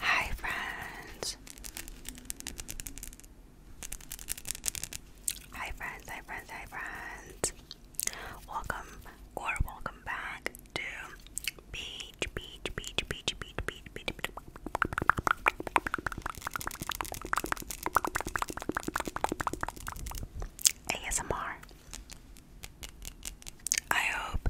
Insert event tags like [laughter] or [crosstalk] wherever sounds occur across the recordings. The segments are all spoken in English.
Hi, friends. Hi, friends. Hi, friends. Hi, friends. Welcome or welcome back to Beach, Beach, Beach, Beach, Beach, Beach, Beach, Beach. beach. ASMR. I hope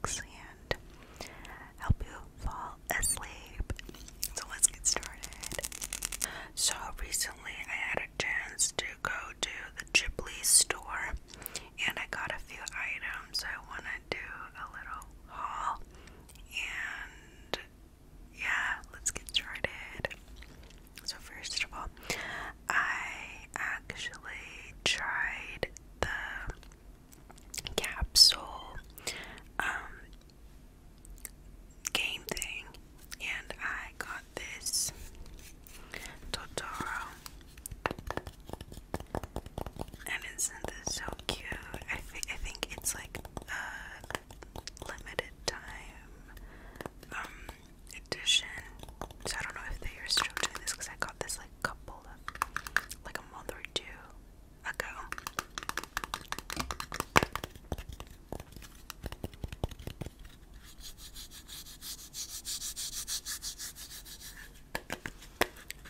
and help you fall asleep. So let's get started. So recently I had a chance to go to the Ghibli store and I got a few items. I want to do a little haul and yeah, let's get started. So first of all, I actually tried the capsule um, game thing, and I got this Totoro. And isn't this so cute? I, I think it's like a limited time um, edition. So I don't know if they are still doing this because I got this like a couple like a month or two ago.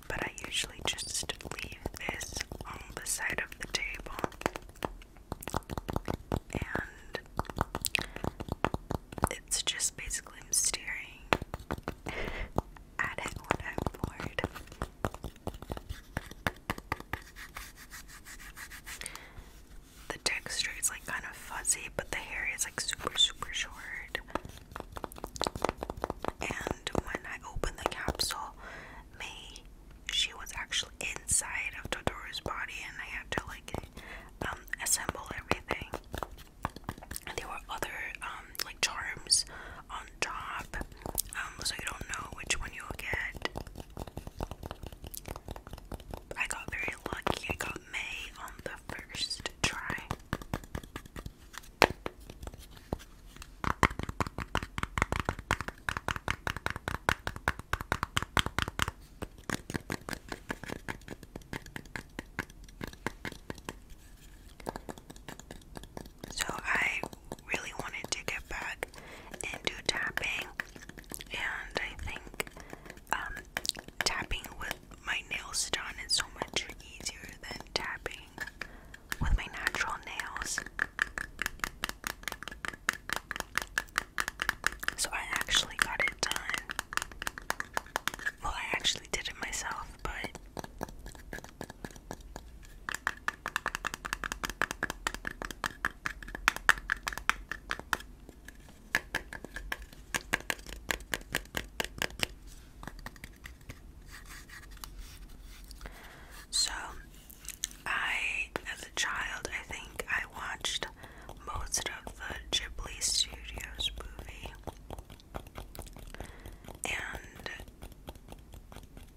But I usually just leave this on the side of the table and it's just basically I'm staring at it when I'm bored. The texture is like kind of fuzzy, but the hair is like super, super short. And when I opened the capsule, May, she was actually inside of Totoro's body, and I had to like um, assemble everything there were other um, like charms on top um, so you don't know which one you'll get I got very lucky I got May on the first try so I really wanted to get back and do tapping, and I think um, tapping with my nails done is so much easier than tapping with my natural nails. So I actually got it done well, I actually did it myself, but. So, I, as a child, I think I watched most of the Ghibli Studios movie. And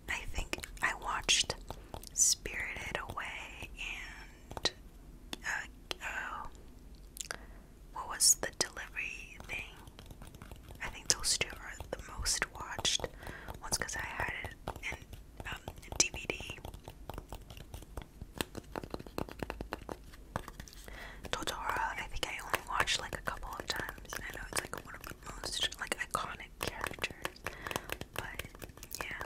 I think I watched Spirited Away and uh, oh, what was the delivery thing? I think those two are the most watched ones because I had it in DVD. Um, Totoro, I think I only watched like a couple of times. I know it's like one of the most like iconic characters, but yeah.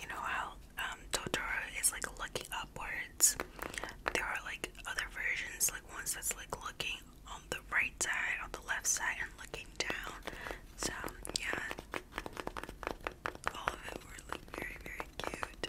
You know how um, Totoro is like looking upwards? There are like other versions, like ones that's like looking on the right side, on the left side, and looking down. So, yeah. All of it were like very, very cute.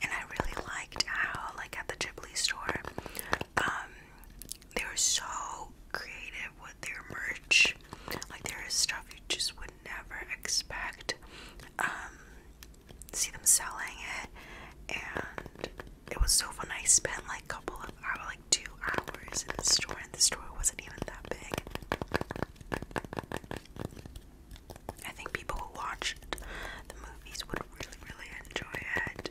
And I really liked how, like at the Ghibli store, um, they were so creative with their merch. Like there is stuff you just would never expect. Um, see them selling it, and it was so fun. I spent like a couple of hours, like two hours in the store, and the store wasn't even that big. I think people who watch the movies would really, really enjoy it.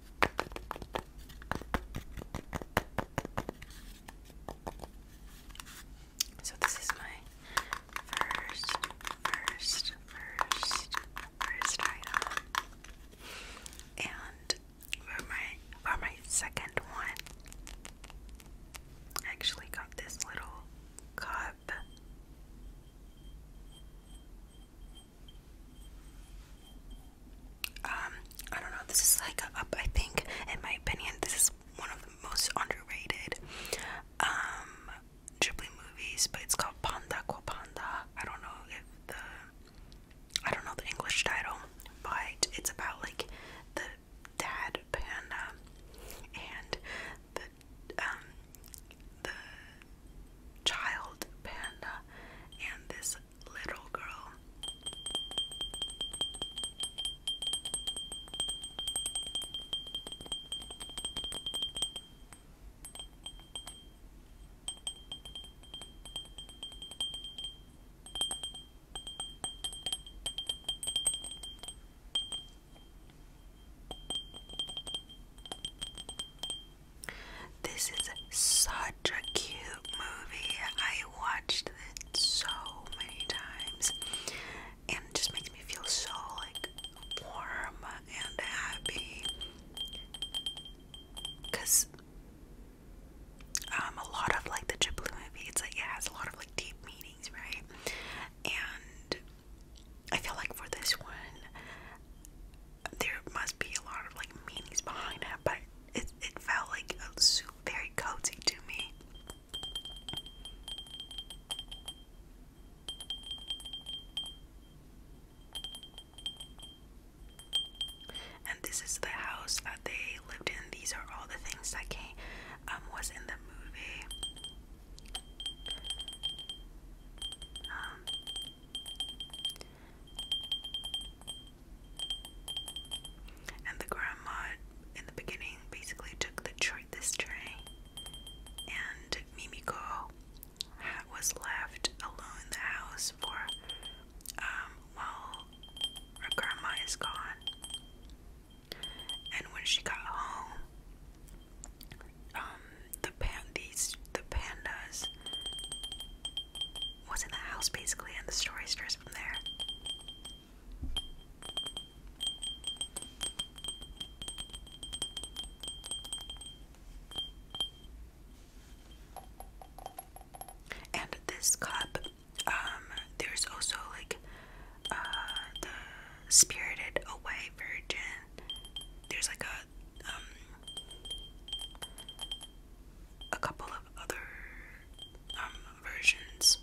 So this is my first, first, first, first item, and for my for my second one, I actually got this little cup. Um, I don't know, this is like up. I think, in my opinion, this is one of the most underrated um, Ghibli movies, but it's called Panda Qua Panda. I don't know if the, I don't know the English title, but it's about like the dad panda and the, um, the child panda and this little girl. This is such a cute movie. I watched it so many times and just makes me feel so like warm and happy because um, a lot of like the Ghibli movie, like it has a lot of like deep meanings, right? And I feel like for this one, there must be a lot of like meanings behind it, but it, it felt like a soup, very cozy to me. And this is the house that they lived in. These are all the things that came um, was in the movie. Um, and the grandma in the beginning basically took the tr this and Mimiko was left alone in the house for um, while her grandma is gone. And when she got home, um, the pan these the pandas was in the house basically, and the story starts from there. And this cup, um, there's also like uh, the Spirited Away Virgin. There's like a um, a couple of other um, versions,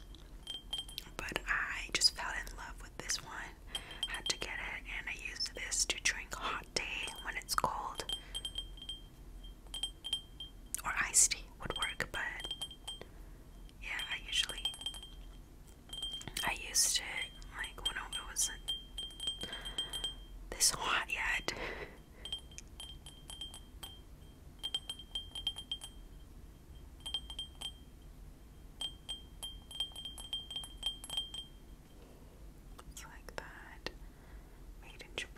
but I just fell in love with this one. Had to get it, and I use this to drink hot tea when it's cold, or iced tea would work. But yeah, I usually I used it like when it wasn't this hot yet. [laughs] It's like that. Made in Japan.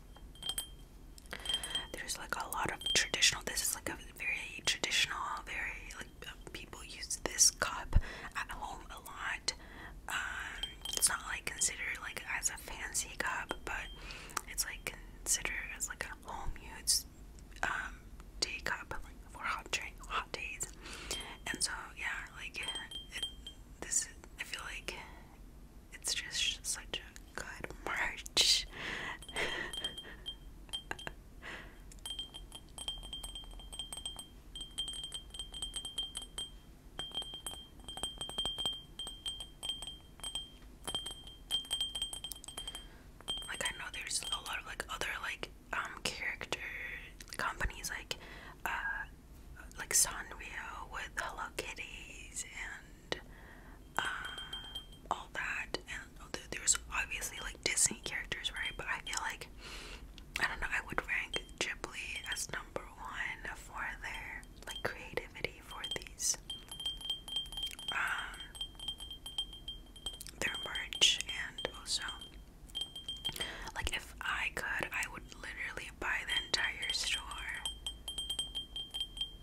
There's like a lot of traditional. This is like a very traditional, very like uh, people use this cup at home a lot. Um, it's not like considered like as a fancy cup, but it's like considered as like a home use um tea cup like for hot drink, hot days. And so yeah, like this I feel like it's just such a good merch. like I know there's a lot of like other like um character companies like uh like Sanrio with Hello Kitties and um, all that. And there's obviously like Disney characters, right? But I feel like I don't know. I would rank Ghibli as number one for their like creativity for these. Um, their merch and also like if I could I would literally buy the entire store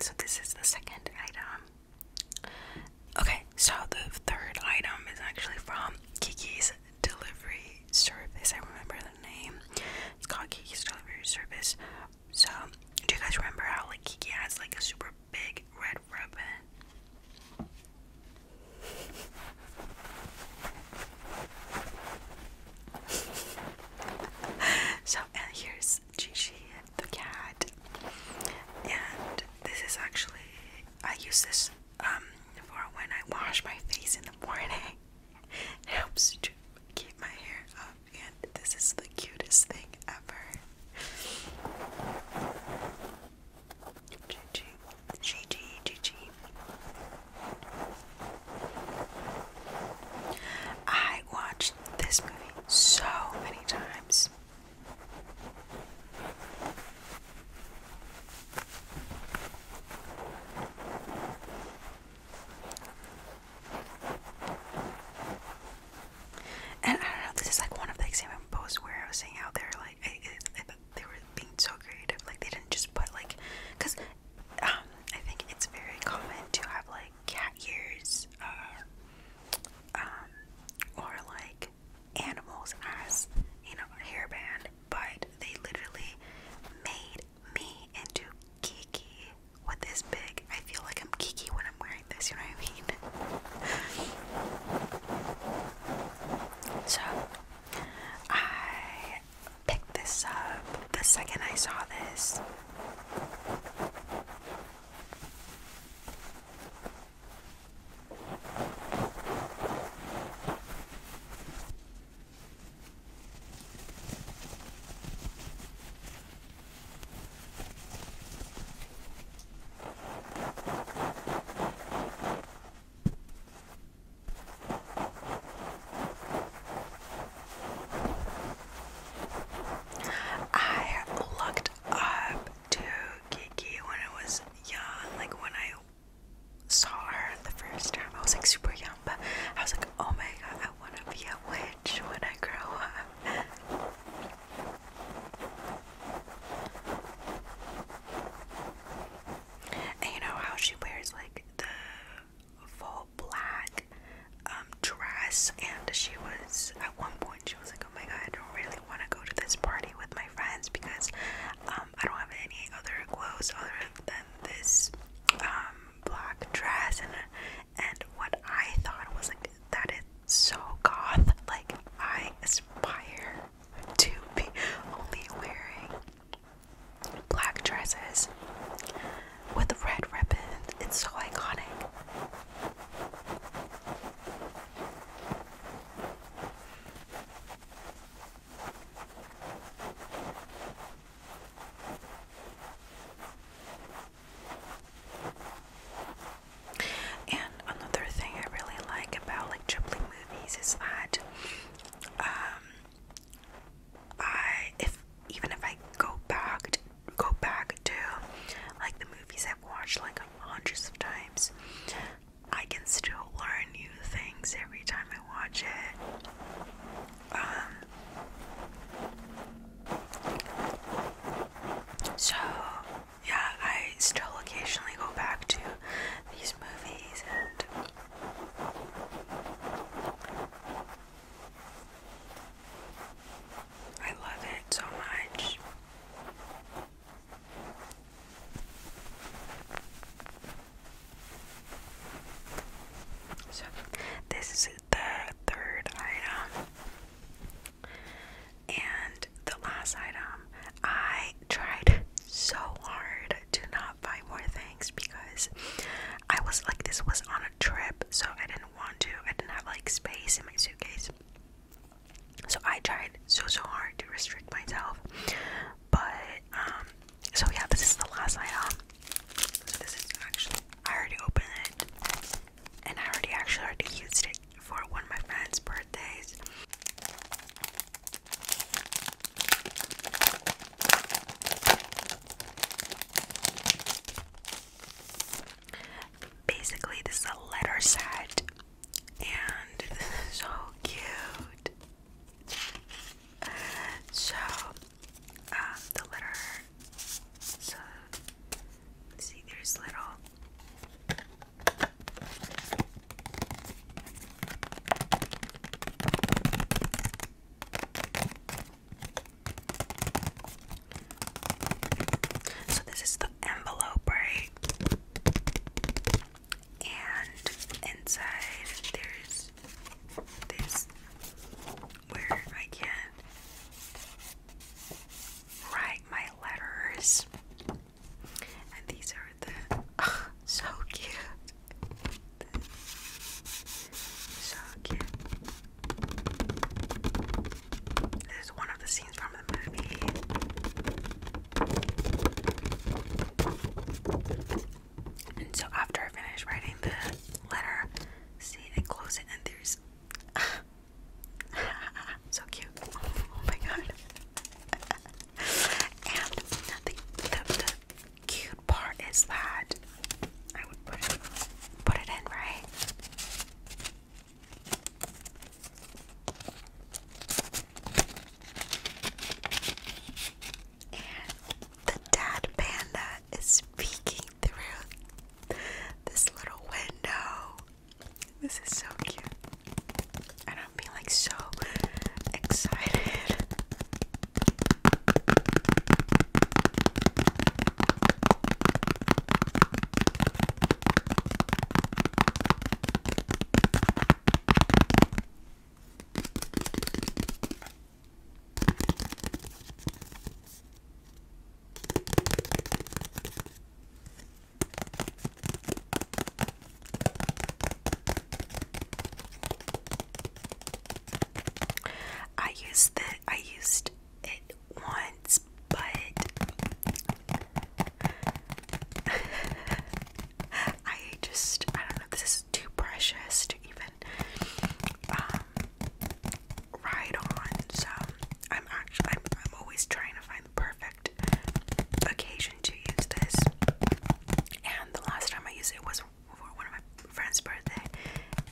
So, this is the second item. Okay, so the third item is actually from Kiki's Delivery Service. I remember the name. It's called Kiki's Delivery Service. So, do you guys remember how like Kiki has like a super big red ribbon? [laughs] so, and here's Gigi the cat, and this is actually I use this um for when I wash my face in the morning. [laughs] helps to keep my hair up, and this is the cutest thing ever. Gigi, Gigi, Gigi. I watched this movie so many times. And I don't know, this is like one of the example posts where I was saying how they like, they were being so creative. Like, they didn't just put, like, because um, I think it's very common to have like cat ears, uh, um, or like animals as you know a hairband, but they literally made me into Kiki with this big. I feel like I'm Kiki when I'm wearing this. You know what I mean? [laughs] so I picked this up the second I saw this. I looked up to Kiki when I was young, like when I saw her the first time. I was like super young, but I was like, oh my god, I want to be a witch when I grow up. you know how she wears like the full black um, dress, and she was at one point she was like, "Oh my god, I don't really want to go to this party with my friends because um, I don't have any other clothes other than this um, black dress." And and what I thought was like it's so goth. Like I aspire to be only wearing black dresses with red ribbons. It's so iconic. And another thing I really like about like Ghibli movies is that um, I if even if I go back to, go back to like the movies I've watched like hundreds of times, I can still learn new things every time I watch it. Um so yeah, I still occasionally go back to these movies and I love it so much. So, this is the third item. And the last item, I tried so hard to not up more things because I was like, this was on a trip, so I didn't want to. I didn't have like space in my suitcase. So I tried so so hard to restrict myself, but um, so yeah, this is the last item. this is actually I already opened it, and I already actually already used it for one of my friends' birthdays. Basically, this is a letter set, and this [laughs] is so cute. So, uh, the letter. So, see, there's little so, this is the envelope, right? And inside there's this where I can write my letters. And these are the so cute. So cute. This is one of the scenes from the movie. And so after I finish writing the letter, see I close it and there's [laughs] so cute. Oh my god. [laughs] and the, cute part is that I would put it, in, right? the dad panda is peeking through this little window. This is so cute. And I'm being like so excited. I used the I used it once, but [laughs] I just I don't know. This is too precious to even um, ride on. So I'm actually I'm always trying to find the perfect occasion to use this. And the last time I used it was for one of my friend's birthday.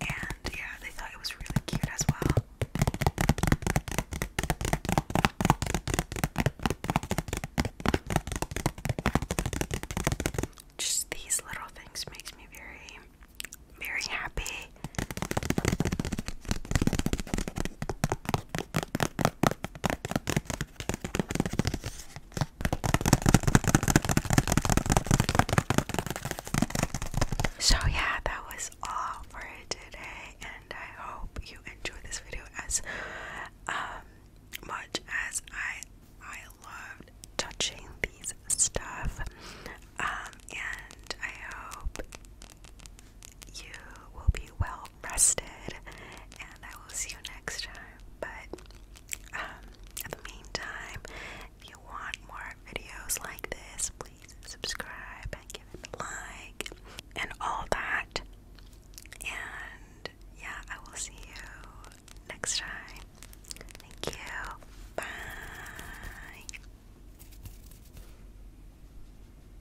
And yeah, they thought it was really cute as well. Just these little things makes me very very happy. So, yeah, that was all for today, and I hope you enjoyed this video as um, much as I I loved touching these stuff. Um, and I hope you will be well rested, and I will see you next time. But um, in the meantime, if you want more videos like this, please subscribe and give it a like and all that. And yeah, I will see you next time. Thank you. Bye.